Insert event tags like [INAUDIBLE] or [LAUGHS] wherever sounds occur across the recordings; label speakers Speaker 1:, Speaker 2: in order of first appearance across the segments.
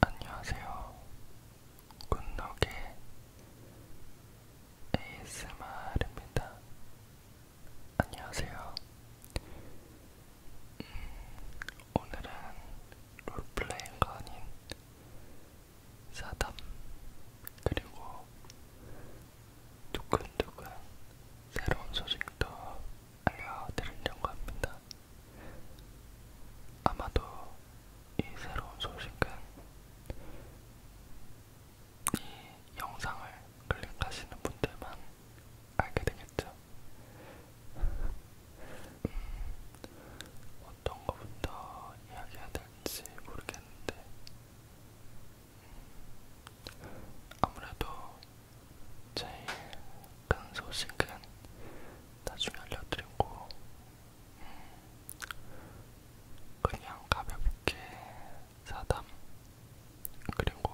Speaker 1: 안녕하세요. 굿노게 ASMR입니다. 안녕하세요. 음, 오늘은 롤플레이가 아닌 사담 그리고 두근두근 새로운 소식도 알려드리려고 합니다. 아마도 이 새로운 소식은 이 영상을 클릭하시는 분들만 알게 되겠죠. 음, 어떤 것부터 이야기해야 될지 모르겠는데 음, 아무래도 제일 큰 소식은 나중에 알려드리고 음, 그냥 가볍게 사담 그리고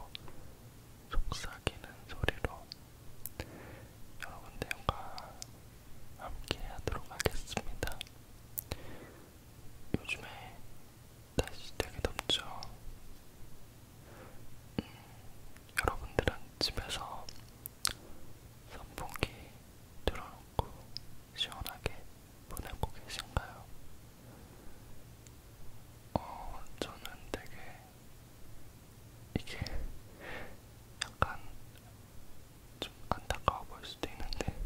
Speaker 1: 속삭이는 소리로 여러분들과 함께 하도록 하겠습니다. 요즘에 날씨 되게 덥죠? 음, 여러분들은 집에서 선풍기 틀어놓고 시원하게 보내고 계신가요? 어, 저는 되게 이게 약간 좀 안타까워 보일 수도 있는데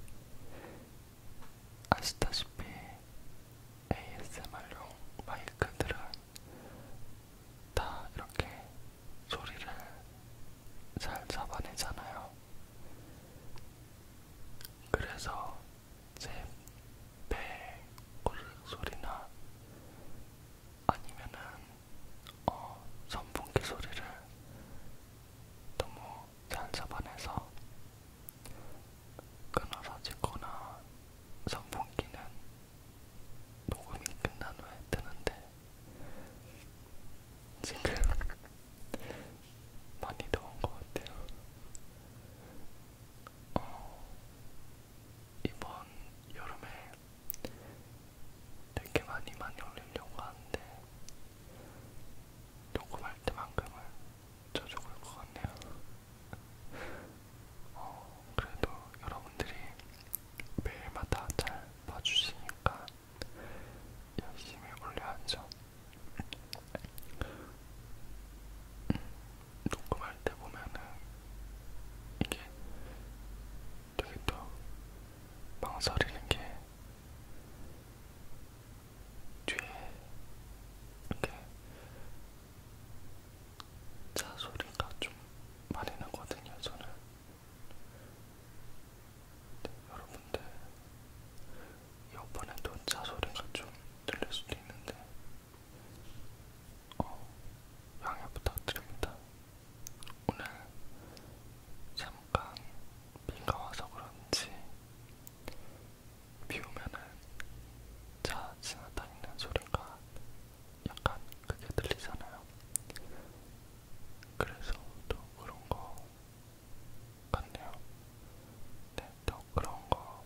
Speaker 1: 아시다시피 ASMR용 마이크들은 다 이렇게 소리를 잘 잡아내잖아요. 그래서 제배 고르 소리나 아니면은 어, 선풍기 소리를 너무 잘 잡아내서 끊어서 찍거나 선풍기는 녹음이 끝난 후에 뜨는데 지금 많이 더운 것 같아요. 어, 이번 여름에 되게 많이 많이 올리려고 하는데 녹음할 때만큼은 저 죽을 것 같네요. 어, 그래도 여러분들이 매일마다 잘 봐주시니까 열심히 올려야죠. 녹음할 때 보면은 이게 되게 또 망설이는 게 뒤에 이렇게 차 소리가 좀 많이 나거든요, 저는. 네, 여러분들, 이번에도 차 소리가 좀 들릴 수도 있는데, 어, 양해 부탁드립니다. 오늘 잠깐 비가 와서 그런지 비 오면은 차 지나다니는 소리가 약간 크게 들리잖아요. 그래서 또 그런 거 같네요. 네, 또 그런 거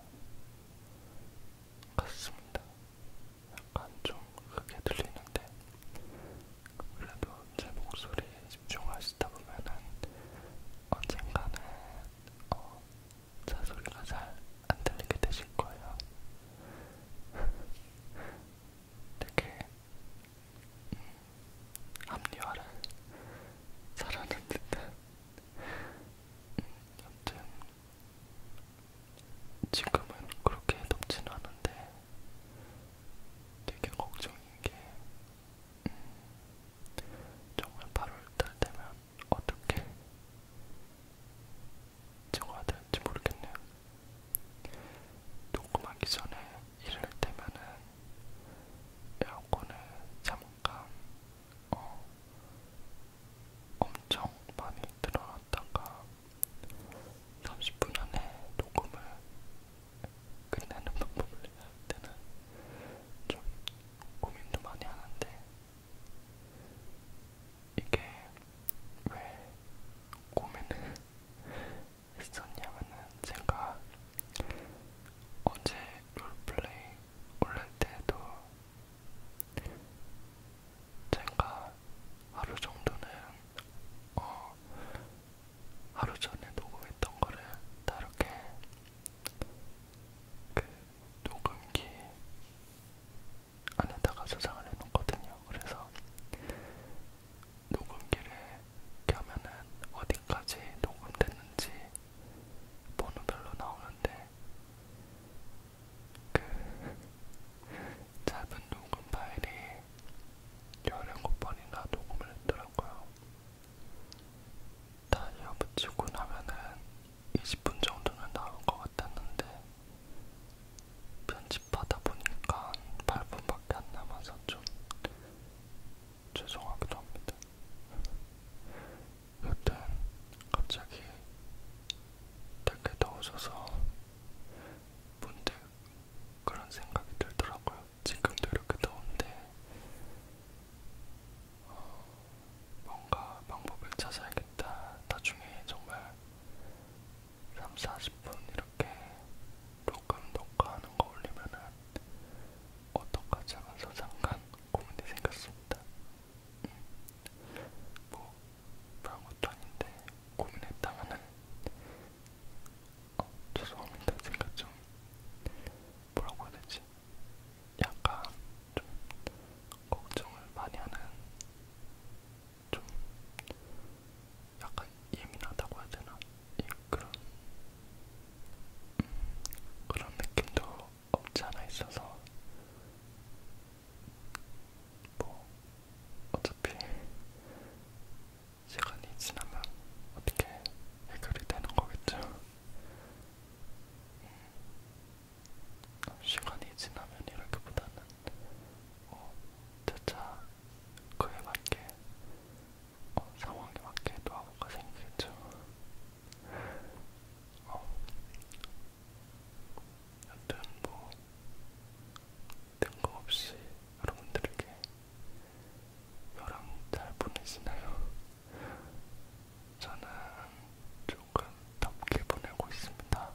Speaker 1: 같습니다. 약간 좀 크게 들리는데 그래도 제 목소리에 집중하시다 보면은 언젠가는 어, 자 소리가 잘 안 들리게 되실 거예요. 되게 음, 합리화를 잘하는 듯한 음, 여튼 지금은 그렇게 덥지는 않은데 되게 걱정인 게 음, 정말 8월달 되면 어떻게 적어야 될지 모르겠네요. 녹음하기 전에 이럴 때면은 에어컨을 잠깐 어, 엄청 많이 들어놨다가 30분 안에 녹음을 끝내는 방법을 해야 때는 좀 고민도 많이 하는데 이게 왜 고민을 했었냐면은 제가 어제 롤플레이 올릴 때도 제가 하루 정도는 어 하루 전에 녹음했던 거를 다르게 그 녹음기 안에다가 저장을 해놓거든요. 그래서 녹음기를 켜면은 어디까지 녹음됐는지 번호별로 나오는데 그 [LAUGHS] 짧은 녹음 파일이 17번이나 녹음을 했더라고요. 다 이어붙이고 나면은 20분 정도는 나올 것 같았는데 편집하다 보니까 8분밖에 안 남아서 좀 죄송하기도 합니다. 여튼 갑자기 되게 더워져서 문득 그런 생각이 들더라고요. 지금도 이렇게 더운데 어, 뭔가 방법을 찾아야겠다. 나중에 정말 3, 40분 이렇게 녹음 녹화하는 거 올리면은 어떡하지 하면서 잠깐 고민이 생겼습니다. 음. 뭐 그런 것도 아닌데 고민했다면은 어, 죄송합니다. 제가 좀 뭐라고 해야 되지? 약간 좀 걱정을 많이 하는 좀 약간 예민하다고 해야 되나 그런 음, 그런 느낌도 없지 않아 있어서 뭐 어차피 시간이 지나면 어떻게 해결이 되는 거겠죠. 음, 시간이 지나면이라기보다는 어, 차차 그에 맞게 어, 상황에 맞게 노하우가 생기겠죠. 어, 여튼 뭐 뜬금없이 여러분들에게 여랑 잘 보내시나요? 저는 조금 덥게 보내고 있습니다.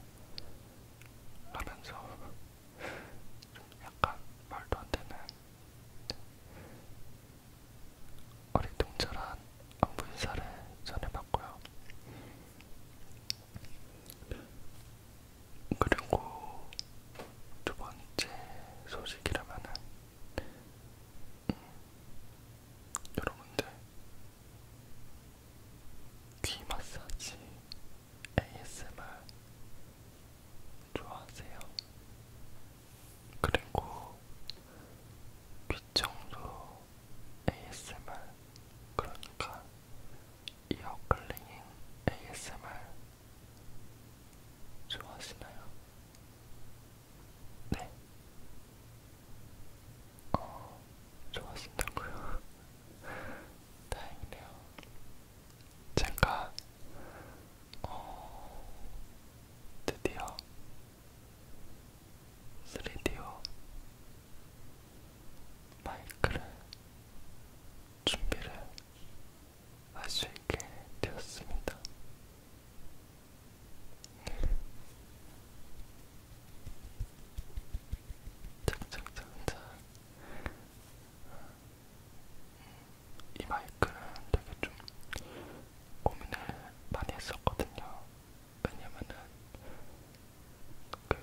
Speaker 1: 하면서 좀 약간 말도 안 되는 어리둥절한 안부 인사를 전해봤고요. 그리고 두 번째 소식이라면은 음, 여러분들 귀 마사지 ASMR 좋아하세요? 그리고 귀청소 ASMR 그러니까 이어 클리닝 ASMR 좋아하시나요? 네. 어, 좋아하신다고요? 다행이네요. 제가 어, 드디어 3D오 마이크를 준비를 할 수 있게 되었습니다. 착착착착 음, 이 마이크는 되게 좀 고민을 많이 했었거든요. 왜냐면은 그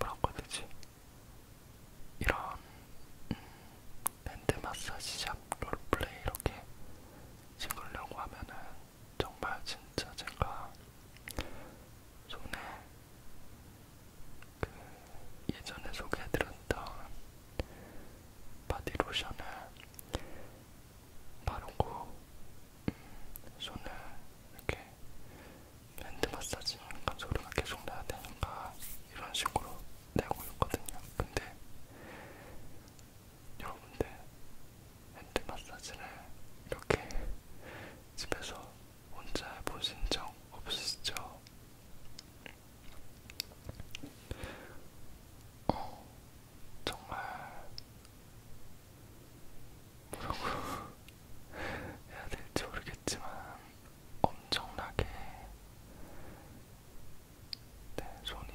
Speaker 1: 뭐라고 해야 되지? 이런 음, 밴드 마사지 샵 롤플레이 이렇게 찍으려고 하면은 정말 진짜 제가 손에 그 예전에 소개해드렸던 바디로션을 바르고 음, 손을 이렇게 핸드 마사지니까 소리가 계속 나야 되니까 이런 식으로 내고 있거든요. 근데 여러분들 핸드 마사지를 이렇게 집에서 혼자 해보신 적 없으시죠? 어, 정말 뭐라고 [LAUGHS] 해야 될지 모르겠지만 엄청나게 네, 손이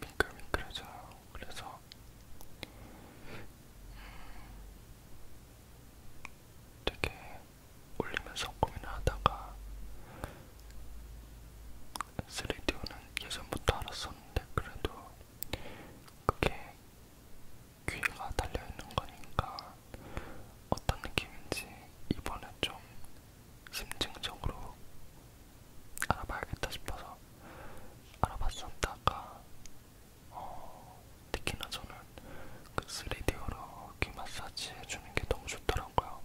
Speaker 1: 미끌미끌해져요. 그래서 음, 되게 올리면서 고민을 하다가 3D오는 예전부터 알았었는데 그래도 그게 귀가 달려있는 거니까 어떤 느낌인지 이번에 좀 심층적으로 알아봐야겠다 싶어서 알아봤었다가 어, 특히나 저는 그 3D로 귀 마사지 해주는 게 너무 좋더라고요.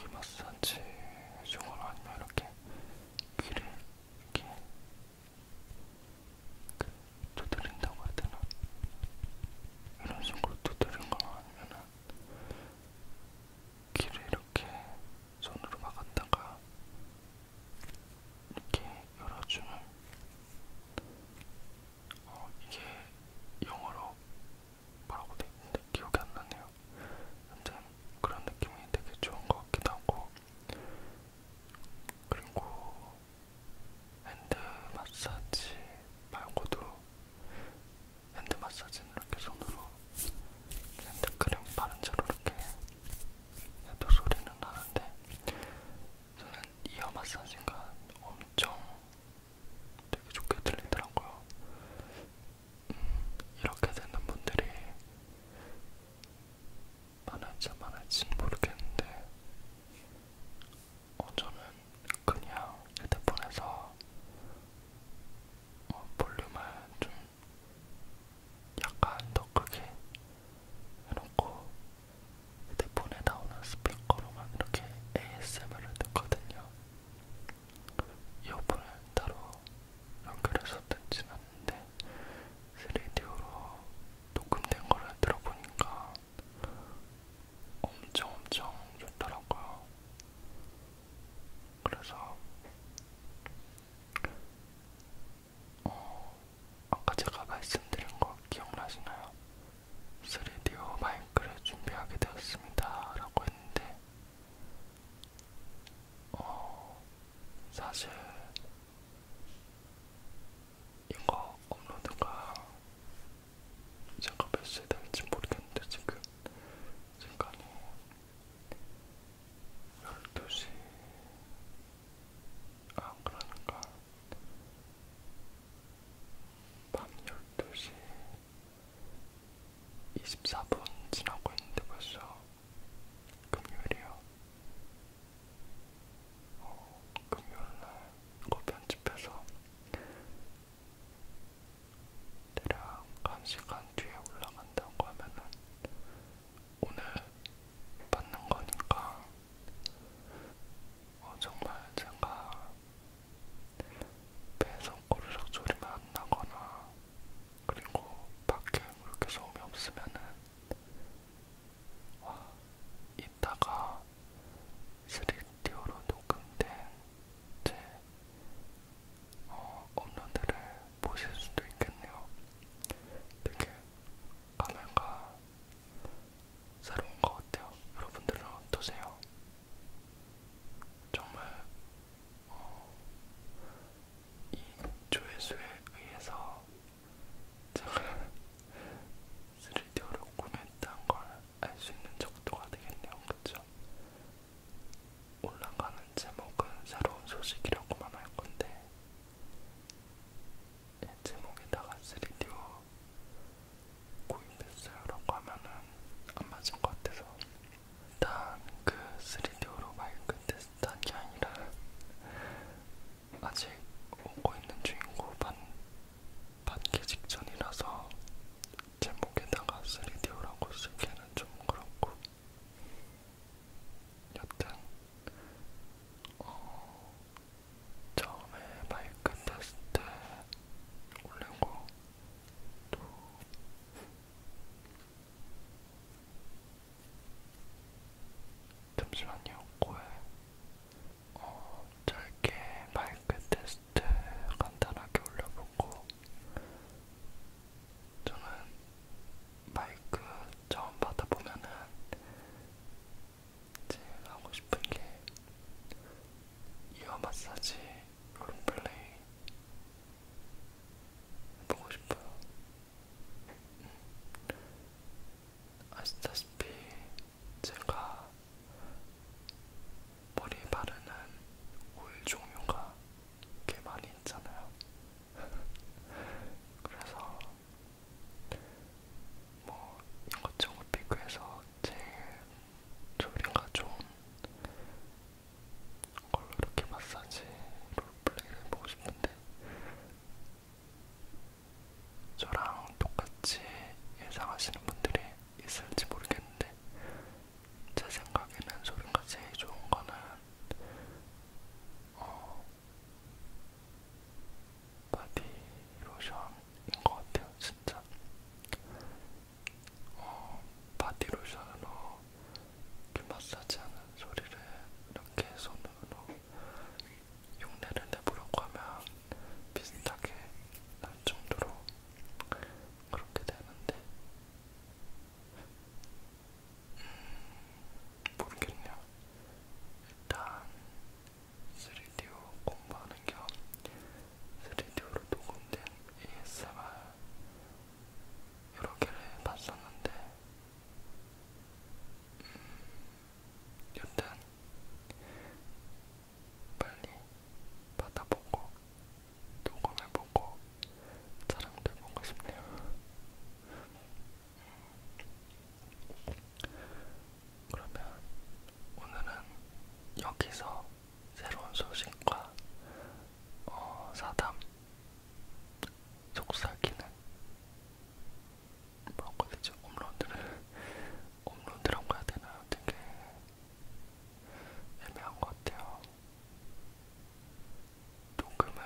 Speaker 1: 귀 마사지 해주거나 아니면 이렇게 귀를 이렇게 그 두드린다고 해야 되나? 이런 식으로 두드린 거나 아니면은 귀를 이렇게 손으로 막았다가 이렇게 열어주면 어, 이게 영어로 뭐라고 돼 있는데 기억이 안 나네요. 근데 그런 느낌이 되게 좋은 것 같기도 하고 그리고 핸드 마사지 말고도 핸드 마사지는 이렇게 손으로 핸드크림 바른 채로 이렇게 해도 소리는 나는데 저는 이어 마사지가 엄청 되게 좋게 들리더라고요. 음, 이렇게 되는 분들이 많을지 많을지는 모르겠는데 어, 저는 그냥 휴대폰에서 어, 볼륨을 좀 약간 더 크게 해놓고 휴대폰에 나오는 스피커로만 이렇게 ASMR을 듣거든요. 이어폰을 따로 연결해서 듣진 않는데 3D로 녹음된 거를 들어보니까 엄청 엄청 좋더라고요. 그래서 어, 아까 제가 말씀드린 거 기억나시나요? 3DO 마이크를 준비하게 되었습니다. 라고 했는데, 어, 사실, 이거 업로드가 제가 몇 시에 될지 모르겠는데, 지금 시간이 12시 아 그러니까 밤 12시 24분 지나고 있는데 벌써 금요일이요 어, 금요일날 이거 편집해서 대략 1시간 뒤에 올라간다고 하면은 오늘 받는 거니까 어, 정말 제가 배에서 꼬르륵 소리만 안 나거나 그리고 밖에 그렇게 소음이 없으면은 와 이따가 3D로 녹음된 제 네. 어, 업로드를 보실 수도 있겠네요. 되게 감회가 새로운 것 같아요. 여러분들은 어떠세요? 정말 어, 이 조회수에 의해서 제가 3D로 [LAUGHS] 구매했다는 걸 알 수 있는 정도가 되겠네요. 그쵸? 올라가는 제목은 새로운 소식이라고만 할 건데 제목에다가 3D로 구입했어요라고 하면은 안 맞은 것 같아서 일단 그 3D로 마이크 테스트한 게 아니라 아직 오고 있는 중이고 반, 반개 직전이라서 제목에다가 3D라고 쓰기에는 좀 그렇고 여튼 어, 처음에 마이크 테스트 올리고 또 잠시만요 코에 어, 짧게 마이크 테스트 때 네, 간단하게 올려보고 저는 마이크 처음 받아보면은 제일 하고 싶은 게 이어 마사지 롤플레이 해보고 싶어요. 음. 아시다시피 제가 머리에 바르는 오일 종류가 꽤 많이 있잖아요. [LAUGHS] 그래서 뭐 이것저것 비교해서 제일 소리가 좋은 걸로 이렇게 마사지 롤플레이를 해보고 싶은데 저랑 똑같이 예상하시는 분들이 있을지 모르겠는데 제 생각에는 소리가 제일 좋은 거는 어, 바디로션인 것 같아요, 진짜. 어, 바디로션으로 이렇게 마사지하는 소리를 이렇게 손으로 흉내를 내보려고 하면 비슷하게 날 정도로 그렇게 되는데 음, 모르겠네요. 일단 3D로 공부하는 겸 3D로 녹음된 ASMR 여러 개를 봤었는데 음, 여튼 빨리 받아보고 녹음해보고 자랑해보고 싶네요. 그러면 오늘은 여기서 새로운 소식과 어, 사담, 속삭이는 뭐라고 해야 되지? 업로드를 업로드라고 해야 되나요? 되게 애매한 것 같아요. 녹음을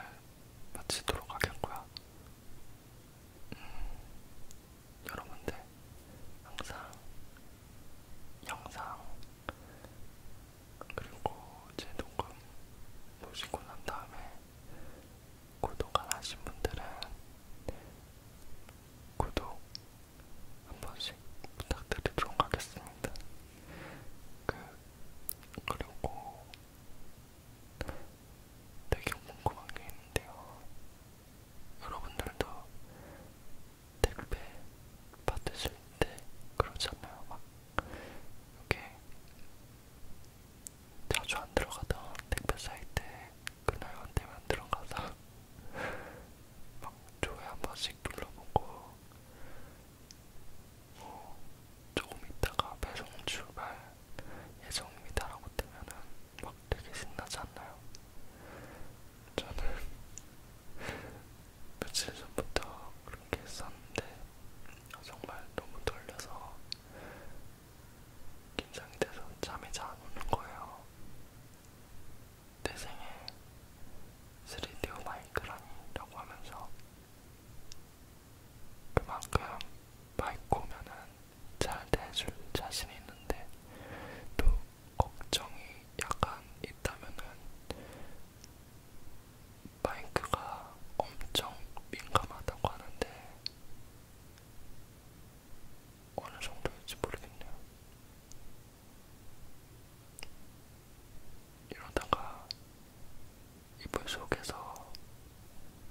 Speaker 1: 마치도록 하겠고요. 음, 여러분들 항상 영상 그리고 제 녹음 보시고 난 다음에 구독 안 하신 분들은 구독 한 번씩 부탁드리도록 하겠습니다. 그, 그리고 되게 궁금한 게 있는데요. 여러분들도 택배 받으실 때 그러잖아요. 막, 이렇게 자주 안 들어가던 택배 사이트에 그날 안 되면 들어가서 막 조회 한 번씩 눌러보고 뭐 조금 있다가 배송 출발 예정입니다라고 뜨면은 막 되게 신나지 않나요? 저는 며칠 전부터 그렇게 했었는데 정말 너무 떨려서 긴장이 돼서 잠이 잘안 오는 거예요. 내 생에 3D 마이크라니라고 하면서 그만큼 마이크 오면은 잘 대줄 자신이 있는데 또 걱정이 약간 있다면은 마이크가 엄청 민감하다고 하는데 어느 정도일지 모르겠네요. 이러다가 이불 속에서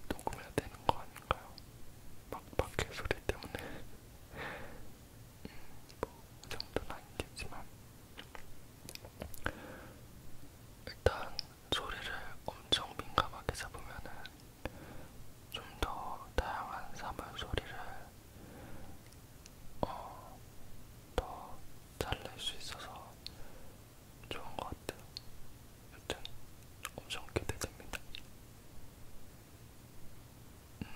Speaker 1: 녹음해야 되는 거 아닌가요? 막 밖에 소리 때문에 [LAUGHS] 음, 뭐그 정도는 아니겠지만 일단 소리를 엄청 민감하게 잡으면은 좀더 다양한 사물 소리를 어, 더잘 낼 수 있어서 좋은 것 같아요. 여튼 엄청 기대됩니다. 음,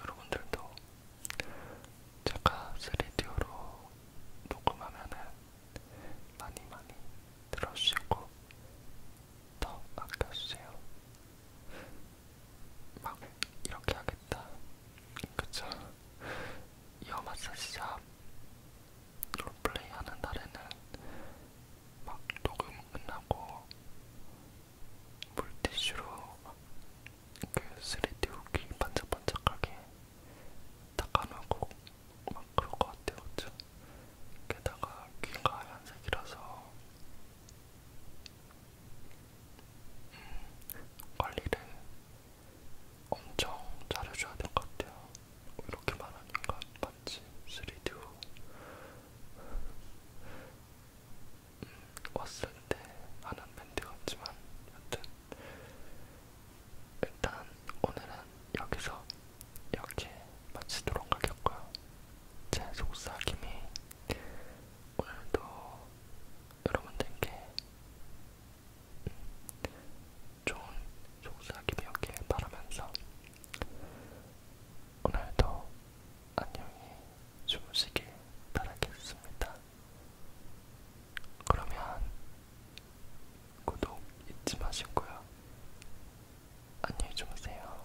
Speaker 1: 여러분들도 제가 3D로 녹음하면은 많이 많이 들어주시고 더 아껴주세요. 막 이렇게 하겠다. 그쵸? 이어 마사지샵 롤플레이 하는 날에는 막 녹음 끝나고 물티슈로 그 3D 후기 반짝반짝하게 닦아놓고 막 그럴 것 같아요. 그쵸? 게다가 귀가 하얀색이라서 관리를 엄청 잘해줘야 될 것 같아요. 이렇게 말하는 건 맞지? 3D 후 음, 왔을 때 하는 멘트 같지만 여튼 일단 오늘은 여기서 이렇게 마치도록 하겠고요. 제 속삭임이 오늘도 여러분들께 좋은 속삭임이었길 바라면서 오늘도 안녕히 주무시길 바라겠습니다. 그러면 구독 잊지 마시고요. 안녕히 주무세요.